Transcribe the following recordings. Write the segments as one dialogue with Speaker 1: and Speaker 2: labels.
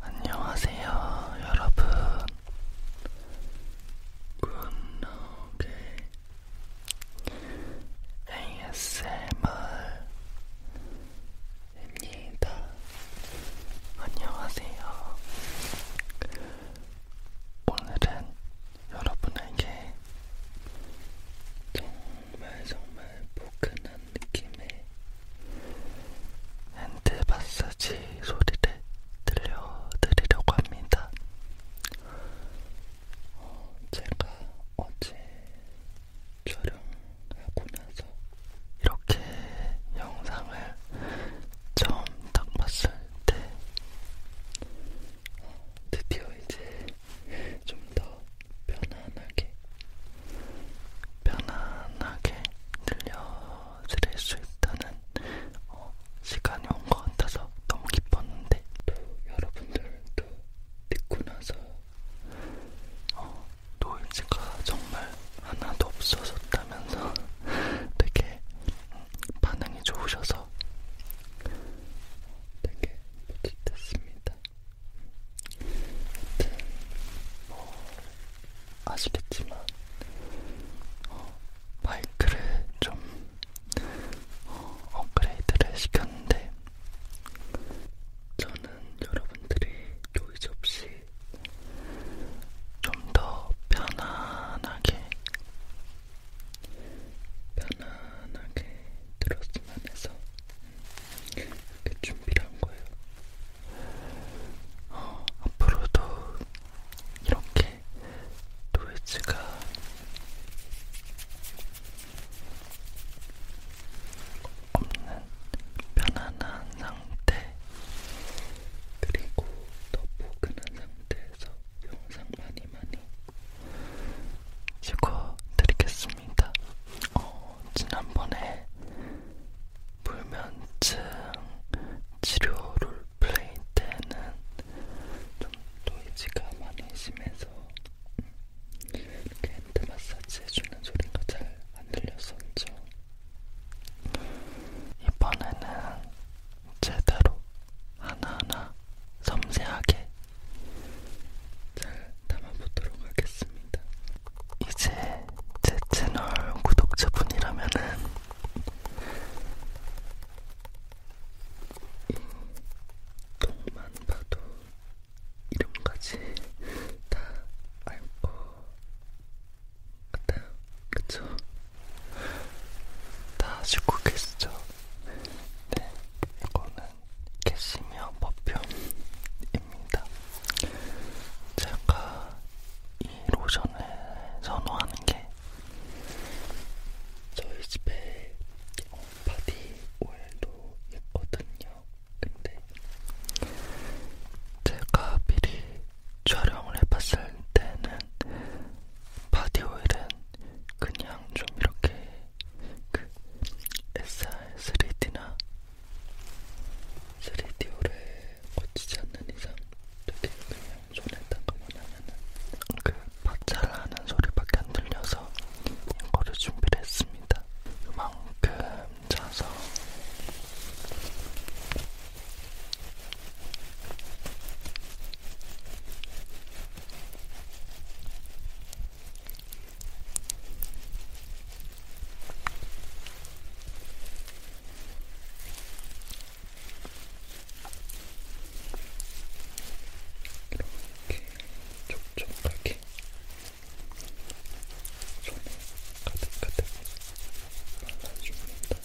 Speaker 1: 안녕하세요, 여러분. 굿노게 ASMR입니다. 안녕하세요. 오늘은 여러분에게 정말 정말 포근한 느낌의 핸드 마사지 소리를 들려드리려고 합니다. 어, 제가 어제 촬영하고 나서 이렇게 영상을 처음 딱 봤을 때 어, 드디어 이제 좀 더 편안하게 편안하게 들려드릴 수 있다는 어, 시간이 온 것 같아서 너무 기뻤는데 또 여러분들도 듣고 나서 어, 노이즈가 정말 하나도 없어졌다면서 되게 음, 반응이 좋으셔서 되게 뿌듯했습니다. 하여튼 뭐 아시겠지만 어, 마이크를 좀 어, 업그레이드를 시켰는데 저는 여러분들이 노이즈 없이 좀 더 편안하게 편안하게 들었으면 해서 이렇게 준비를 한 거예요. 어, 앞으로도 이렇게 노이즈가 없는 편안한 상태 그리고 더 포근한 상태에서 영상 많이 많이 찍어드리겠습니다. 어, 지난번에 불면증 치료 롤플레이 때는 좀 노이즈가 많이 심해서 이렇게 핸드 마사지 해주는 소리가 잘 안 들렸었죠. 이번에는 제대로 하나하나 섬세하게 잘 담아보도록 하겠습니다. 이제 제 채널 구독자분이라면은 이 똥만 봐도 이름까지 다알것 같아요. 그쵸? 다 아시고 계시죠? 네, 이거는 캐시미어 퍼퓸입니다. 제가 이 로션을 선호하는 게 저희 집에 어, 바디 오일도 있거든요. 근데 제가 미리 촬영을 해봤을 때는 바디 오일은 그냥 좀 이렇게 그 SR3D나 3D오래 거치지 않는 이상 되게 그냥 손에다가만 하면은 그 박자를 하는 소리밖에 안 들려서 이거를 준비를 했습니다. 그만큼 자서 이렇게 촉촉하게 손에 가득가득 발라줍니다. 이렇게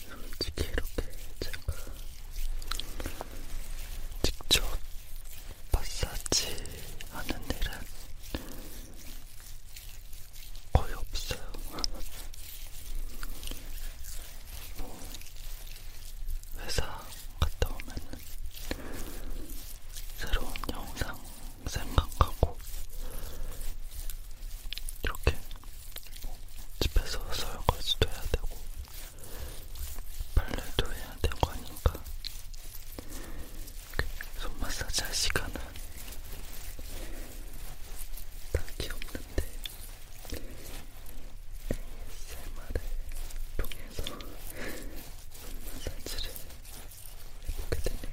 Speaker 1: 근데 솔직히 이렇게 제가 직접 마사지 하는 일은 거의 없어요. 뭐 회사 갔다 오면은 새로운 영상 생각하고 이렇게 뭐 집에서 설거지도 해야 되고 발레도 해야 된거 아닌가? 손 마사지 할 시간은 딱히 없는데 ASMR을 통해서 손 마사지를 해보게 되네요.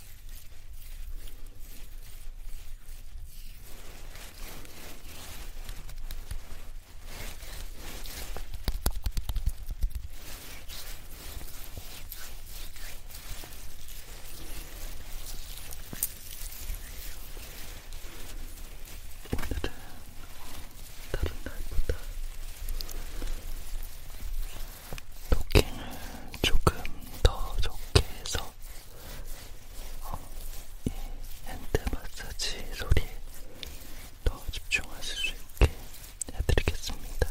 Speaker 1: 오늘은 다른 날보다 토킹을 조금 더 적게 해서 어, 이 핸드 마사지 소리에 더 집중하실 수 있게 해드리겠습니다.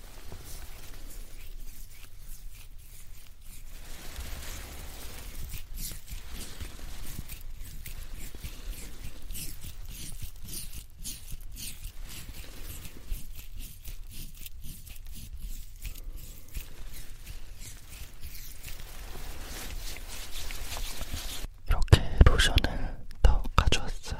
Speaker 1: 이렇게 로션을 더 가져왔어요.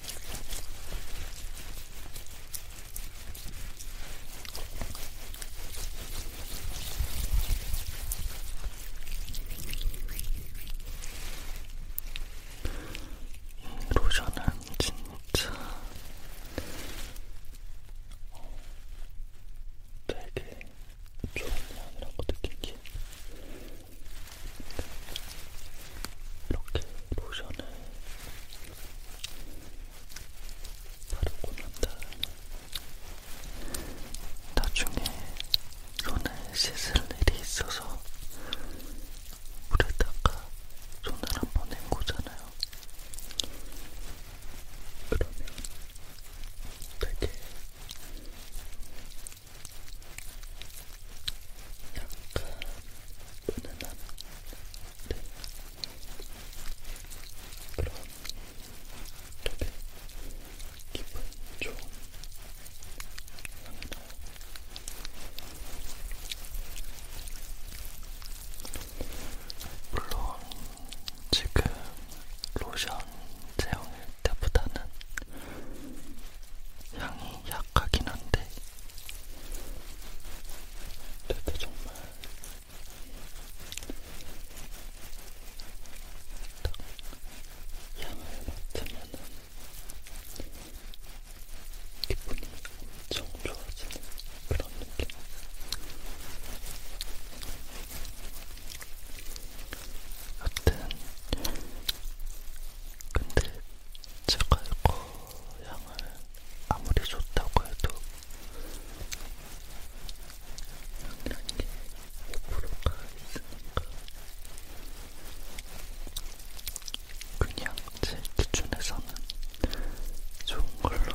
Speaker 1: 로션은 진짜 되게 좋은 향이라고 느낀 게 이렇게 로션을 바르고 난 다음에 나중에 손을 씻을 일이 있어서 물에다가 손을 한번 헹구잖아요. 그러면 되게 약간 은은한 네. 그런 되게 기분 좋은 향이 나요. 물론 지금 로션 제형일 때보다는 향이 약하긴 한데 되게 정말 딱 향을 맡으면은 기분이 엄청 좋아지는 그런 느낌. 여튼 근데 제가 이거 향을 아무리 좋다고 해도 향이라는 게 5%가 있으니까 그냥 제 기준에서는 좋은 걸로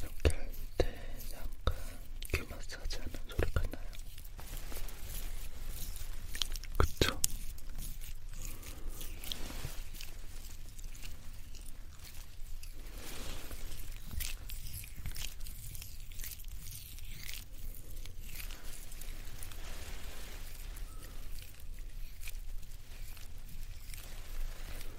Speaker 1: 이렇게 할 때 약간 귀 마사지 하는 소리가 나요. 그쵸?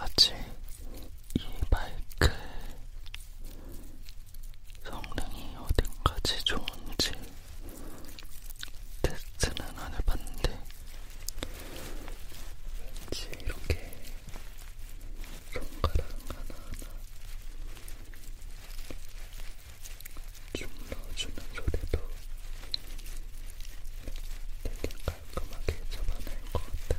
Speaker 1: 아직 이 마이크 성능이 어딘까지 좋은지 테스트는 안 해봤는데 왠지 이렇게 손가락 하나하나 주물러주는 소리도 되게 깔끔하게 잡아낼 것 같아.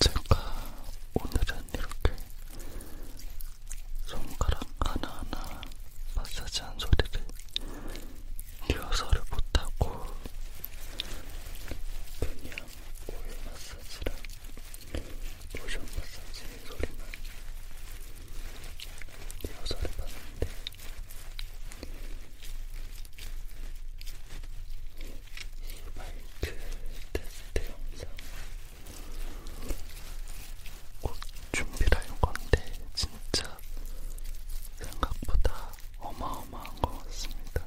Speaker 1: 제가 오늘은 이렇게 손가락 하나하나 마사지한 소리를 리허설을 못하고 그냥 오일 마사지랑 로션 마사지 소리만 리허설을 봤는데 이 마이크 그 테스트 영상 꼭 준비를 할 건데 진짜 생각보다 어마어마한 것 같습니다.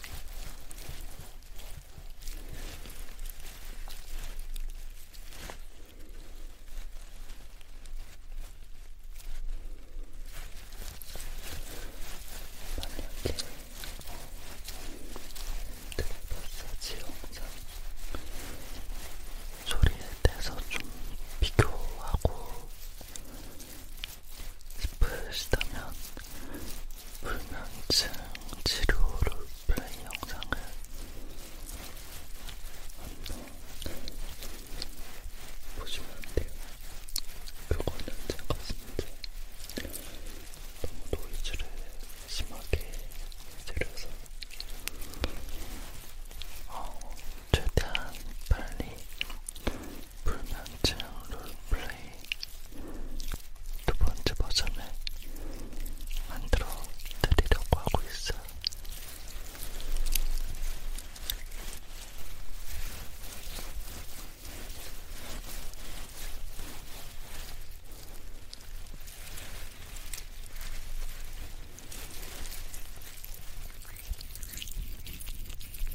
Speaker 1: 만약에 드레버사지 영상 소리에 대해서 좀 비교하고 싶으시다면 불면증 치료를 위한 영상을 한번 보시면 돼요. 그거는 제가 진짜 너무 노이즈를 심하게 들여서 어, 최대한 빨리 불면증 롤플레이 두 번째 버전을 만들어 드리려고 하고 있어요.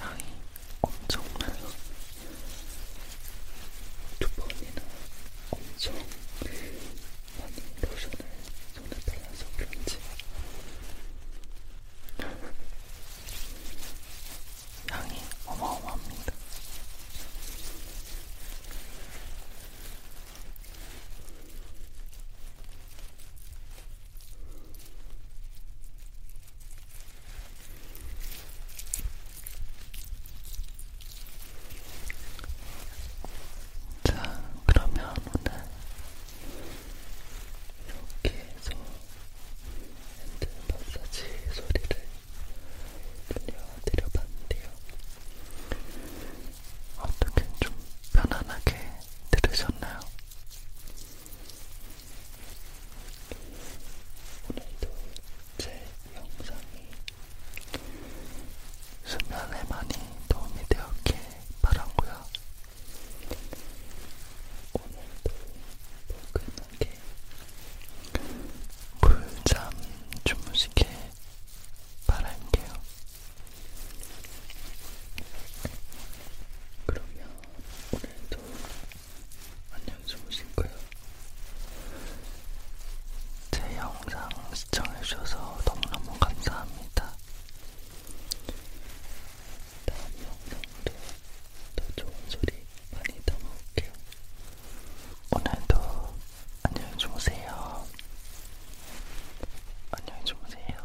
Speaker 1: 향이 엄청나요. 두 번이나 엄청 많이 로션을 손에 발라서 그런지 향이 어마어마합니다. 자, 그러면 오늘 이렇게 해서 핸드 마사지 소리를 들려드려봤는데요. 어떻게 좀 편안하게 들으셨나요? 오늘도 제 영상이 수면에 많이 도움이 되었길 바라고요. 오늘도 포근하게 물잠 주무시길 바랄게요. 그러면 오늘도 안녕 주무실거예요. 제 영상 시청해주셔서 너무너무 감사합니다. 다음 영상도 더 좋은 소리 많이 담아올게요. 오늘도 안녕히 주무세요. 안녕히 주무세요.